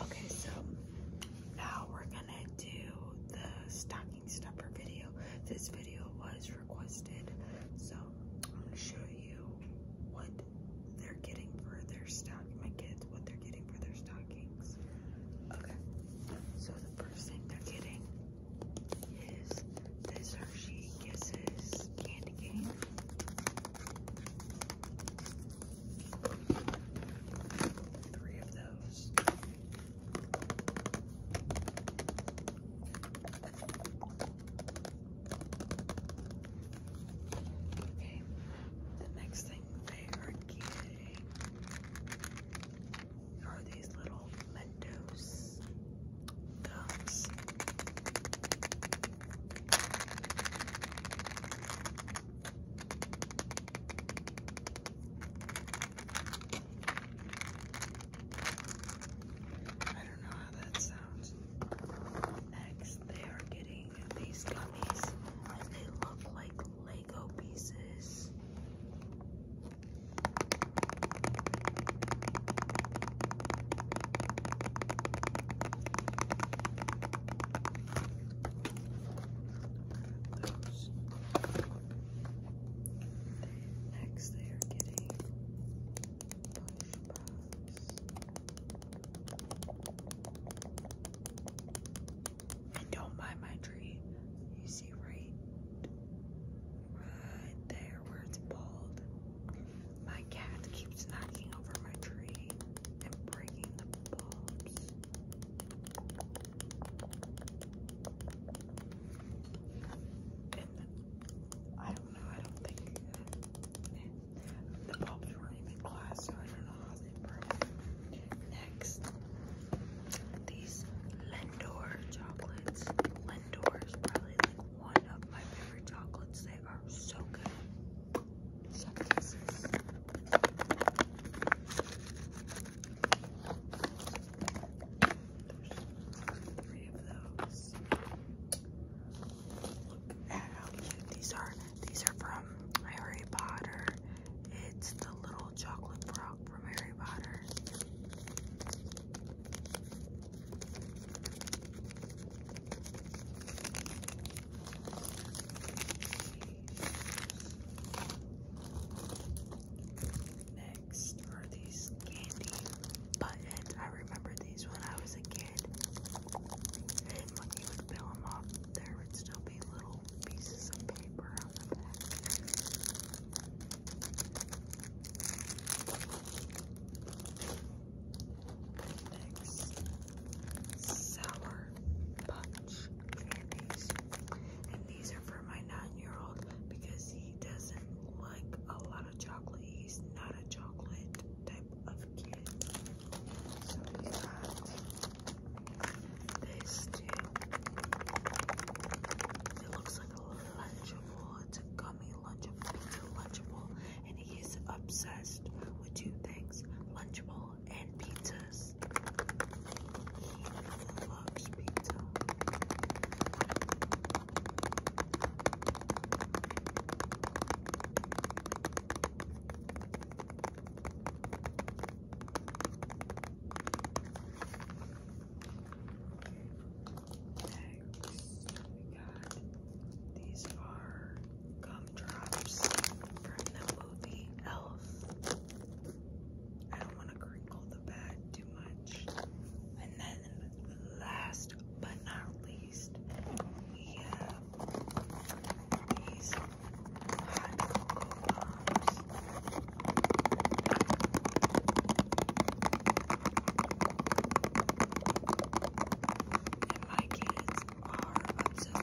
Okay, so now we're gonna do the stocking stuffer video. This video was requested, so I'm gonna show you what they're getting for their stock. My kids, what they're getting for their stockings. Okay, so the first thing they're getting is this Hershey Kisses candy cane. Three of those. Okay, the next thing they are getting are these little Mentos gums. I don't know how that sounds. Next, they are getting these gummies, they look like Lego pieces those. don't mind my tree. You see right there where it's bald. My cat keeps knocking over my tree and breaking the bulbs. I don't know, I don't think the bulbs were even glass, so I don't know how they broke. Next, these Lindor chocolates. Lindor is probably like one of my favorite chocolates. They are so good. Look at how cute these are. These are from Harry Potter. It's the little chocolate frog from Harry Potter. Next are these candy buttons. I remember these when I was a kid. And when you peel them off, there would still be little pieces of paper on the back. Next sour punch candies. And these are for my nine-year-old because he doesn't like a lot of chocolate. He's not a chocolate type of kid. So we got this too. It looks like a lunchable. It's a gummy lunchable. It's a lunchable. And he is obsessed with two things. Lunchable and pizzas. He loves pizza. Next, we got these are gumdrops from the movie Elf. I don't want to crinkle the bag too much. And then, last but not least, we have these hot And my kids are obsessed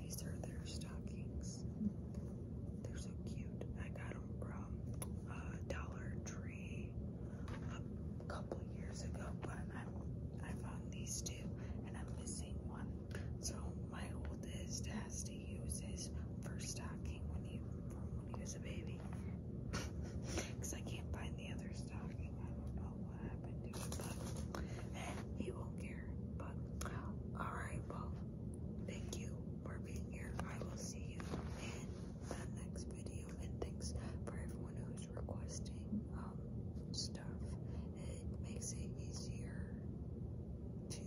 These are their stockings. They're so cute. I got them from uh, Dollar Tree a couple years ago, but I'm, I found these two and I'm missing one. So my oldest has to use his first stocking when he from when he was a baby because I can't find the other stocking. I don't know Eh, he won't care. But all right, well, thank you for being here. I will see you in the next video, and thanks for everyone who's requesting um, stuff. It makes it easier to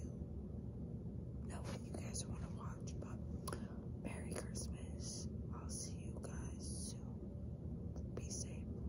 know what you guys want to watch. But Merry Christmas! I'll see you guys soon. Be safe.